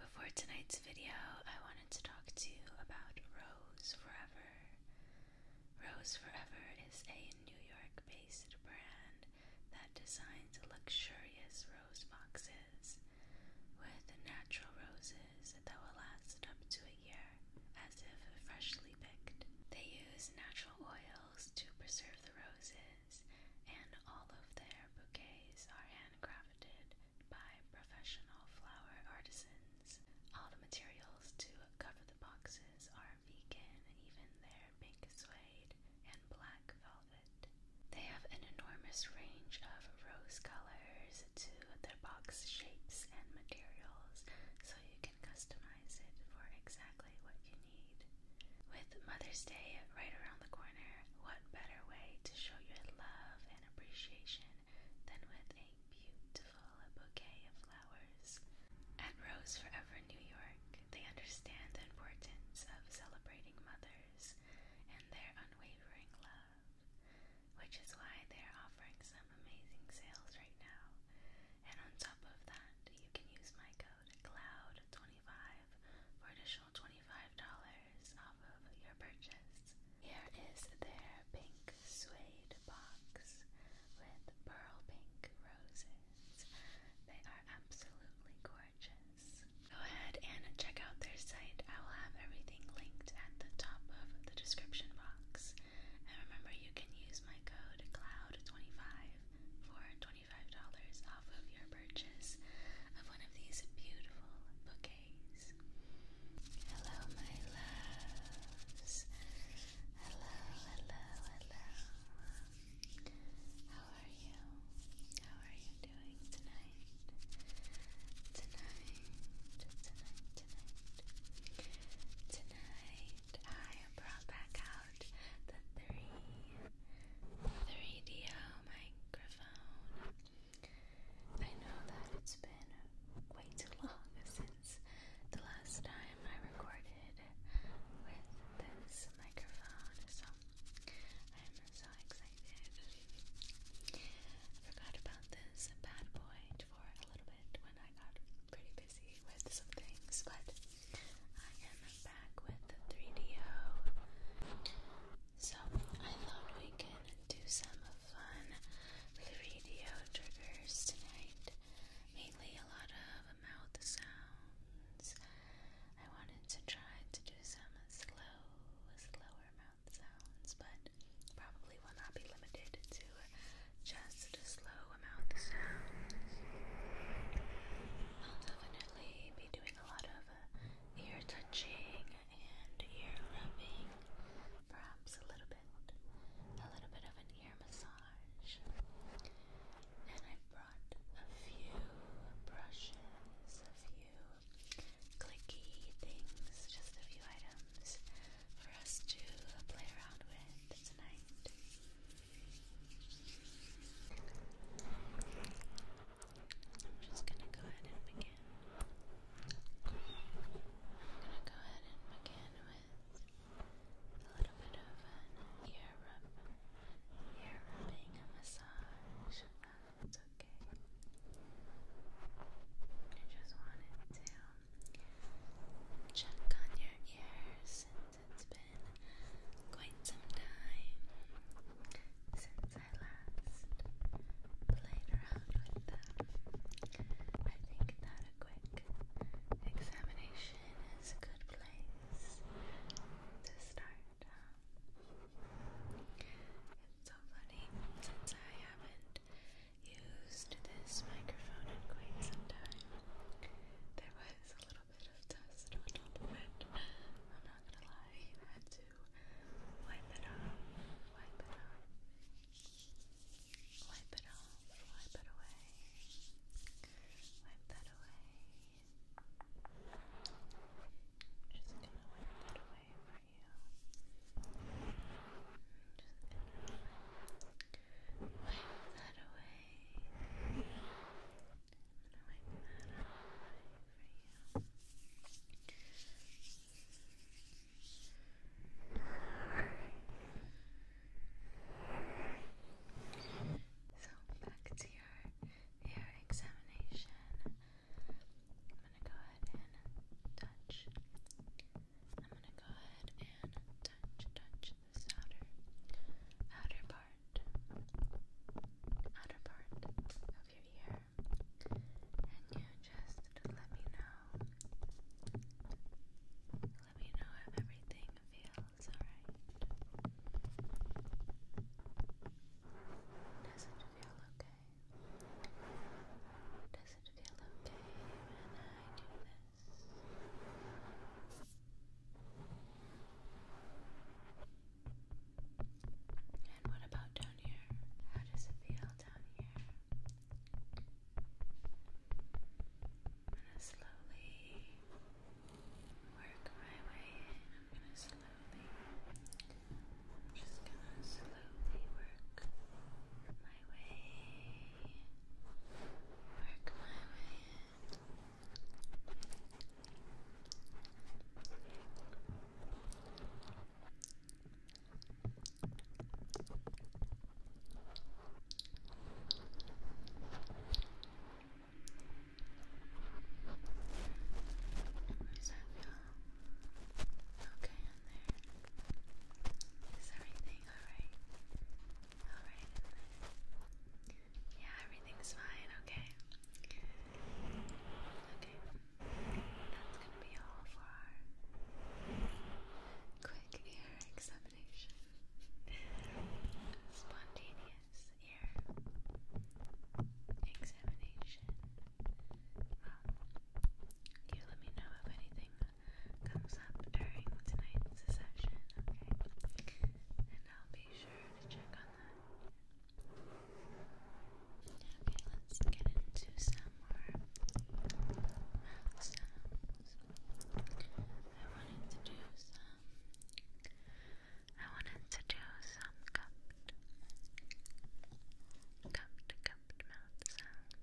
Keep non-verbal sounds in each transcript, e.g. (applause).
Before tonight's video, I wanted to talk to you about Rose Forever. Rose Forever is a New York based brand that designs luxurious rose boxes with natural roses that will last up to a year as if freshly picked. They use natural oils to preserve the roses, and all of their bouquets are handcrafted by professional flower artisans. All the materials to cover the boxes are vegan, even their pink suede and black velvet. They have an enormous range of rose colors to their box shapes and materials, so you can customize it for exactly what you need. With Mother's Day right around the corner, what better way to show your love and appreciation than with a beautiful bouquet of flowers? At Rose Forever New York, they understand the importance of celebrating mothers and their unwavering love, which is why they are offering some amazing sales right now. And on top of that, you can use my code CLOUD25 for additional additional $25 off of your purchase. Here is their pink suede box with pearl pink roses. They are absolutely gorgeous. Go ahead and check out their site. I will have everything linked at the top of the description box. And remember, you can use my code CLOUD25 for $25 off of your your purchase of one of these beautiful bouquets. Hello, my loves. Hello, hello, hello. How are you? How are you doing tonight? Tonight, tonight, tonight. Tonight, I brought back out the 3 3DO microphone. I know that it's been way too long since the last time I recorded with this microphone, so I'm so excited. I forgot about this bad boy for a little bit when I got pretty busy with some things, but I am back with the 3DO. So I thought we could do some fun video triggers tonight. Mainly a lot of mouth sounds. I wanted to try to do some slow, slower mouth sounds, but probably will not be limited to just slow mouth sounds. I'll definitely be doing a lot of uh, ear touching and ear rubbing, perhaps a little bit, a little bit of an ear massage. And I brought a few brushes, a few clicky things, just a few items for us to play around with tonight. I'm just gonna go ahead and begin. I'm gonna go ahead and begin with a little bit of ear rub, ear rubbing a massage. it's okay. I just wanted to check on your ears since it's been quite some time since I last played around with them. I think that a quick examination is a good place to start. Um, it's so funny since I haven't used this microphone in quite some time. There was a little bit of dust on top of it. I'm not gonna lie, you to wipe it off, wipe it off, wipe it off, wipe it away, wipe that away. Just gonna wipe that away for you. Wipe that away i you. So back to your hair examination. I'm gonna go ahead and touch. I'm gonna go ahead and touch, touch this outer, outer part, outer part of your ear, and you just let me know. Let me know if everything feels alright. Does it feel okay? Does it feel okay when I do this? And what about down here? How does it feel down here? I'm gonna slowly work my way in. I'm gonna slowly, I'm just gonna slowly work my way, work my way in. Does that feel okay in there? Is everything alright? Alright in there? Yeah, everything's fine, okay? Okay. That's gonna be all for our quick ear examination. Spontaneous ear examination. Well, um, you let me know if anything comes up during tonight's session, okay? And I'll be sure to check on that. Okay, let's get into some more mouth sounds. I wanted to do some. I wanted to do some cupped, cupped, cupped mouth sounds.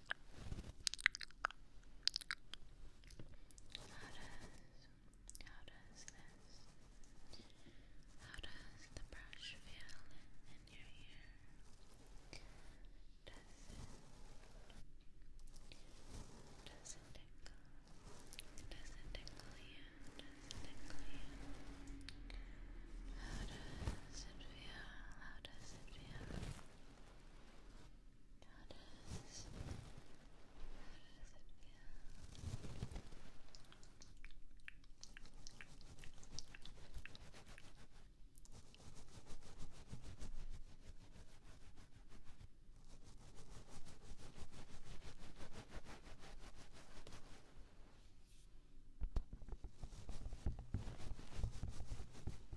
how does this how does the brush feel in your ear? Does it does it tickle? Does it tickle you? Does it tickle you? How does it feel? How does it feel? How does, it feel?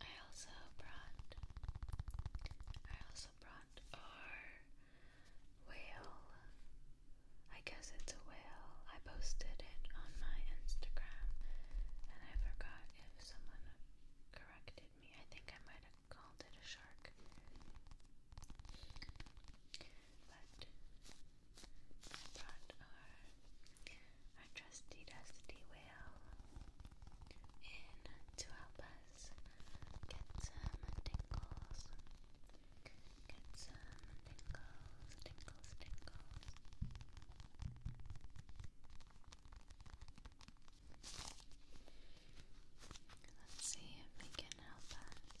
I also brought I also brought our whale. I guess it's a whale. I posted it on my Instagram and I forgot if someone corrected me. I think I might have called it a shark. But I brought our our trusty dusty whale in to help us get some tingles. Get some tingles, tingles, tingles. Let's see if he can help us.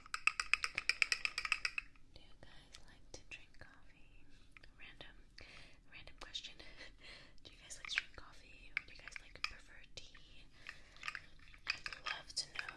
Do you guys like to drink coffee? Random, random question. (laughs) do you guys like to drink coffee, or do you guys like prefer tea? I'd love to know.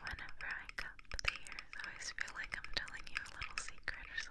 Whenever I cup the ears, I always feel like I'm telling you a little secret or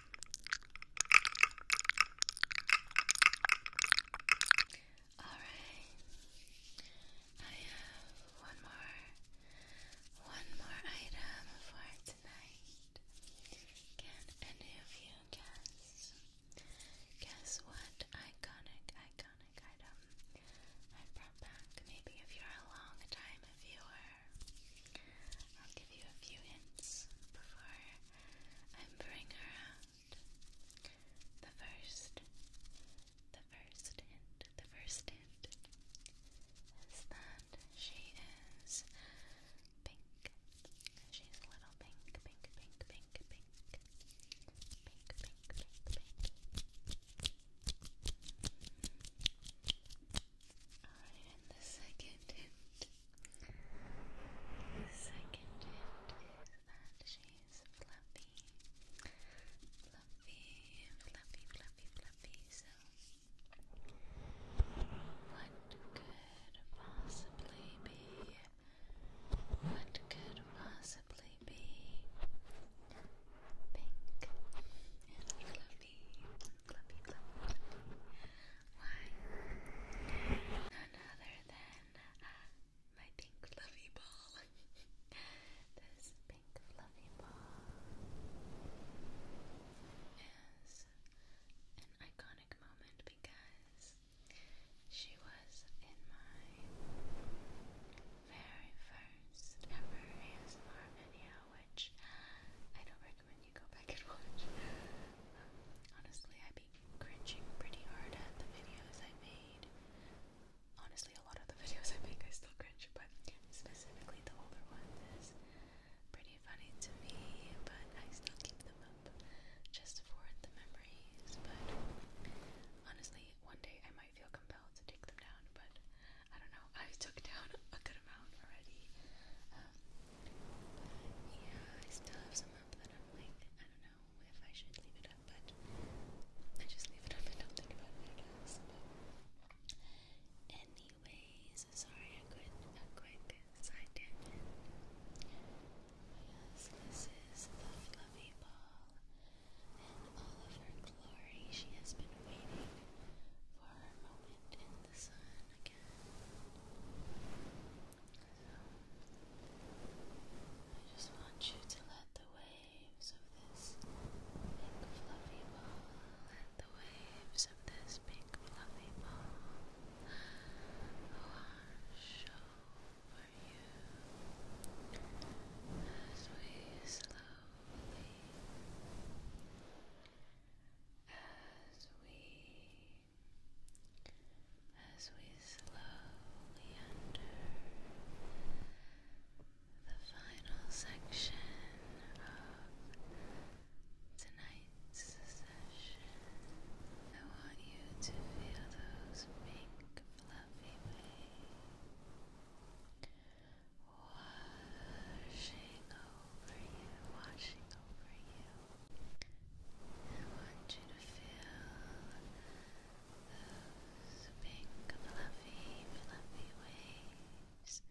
Alright, I have one more, one more item for tonight. Can any of you guess? Guess what iconic, iconic item I brought back? Maybe if you're a long time viewer, I'll give you a few hints before I bring her out. The first, the first hint, the first hint is that she is pink. She's a little pink, pink, pink, pink, pink, pink, pink, pink, pink. Alright, and the second hint the second hint is that she's fluffy. Fluffy, fluffy, fluffy, fluffy. So, what could possibly be? What could possibly be pink and fluffy? fluffy, fluffy, fluffy, fluffy. Why? None other than uh, my pink fluffy ball. (laughs) this pink fluffy ball is an iconic moment because she was in my very first ever ASMR video, which I don't recommend go back and watch. Honestly, I've been cringing pretty hard at the videos I made. Honestly, a lot of the (laughs) videos I make I still cringe, but specifically the older ones pretty funny to me, but I still keep them up just for the memories. But honestly, one day I might feel compelled to take them down, but I don't know. I took down a already. Um, yeah, I still have some up that I'm like, I don't know if I should leave it up, but I just leave it up and don't think about it, I But anyways, sorry, I could a quick side Yes, this is the fluffy ball. In all of her glory, she has been waiting for her moment the again. I just want you to let the waves of this pink fluffy ball, let the waves of this big fluffy ball wash over you as we Slowly as we as we slowly enter the final section of tonight's session. I want you to feel those big fluffy waves washing over you, washing over you. I want you to feel those pink, fluffy, fluffy waves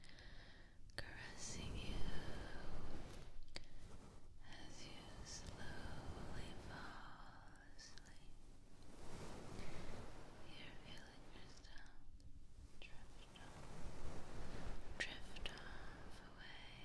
caressing you as you slowly fall asleep. You're feeling yourself drift off away.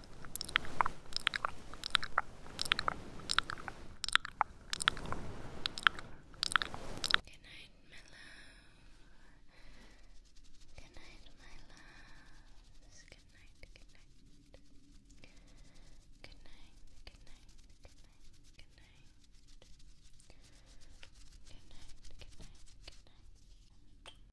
Good night, my love. Good night, my loves. Good night, good night. Good night, good night, good night, good night. Good night, good night, good night.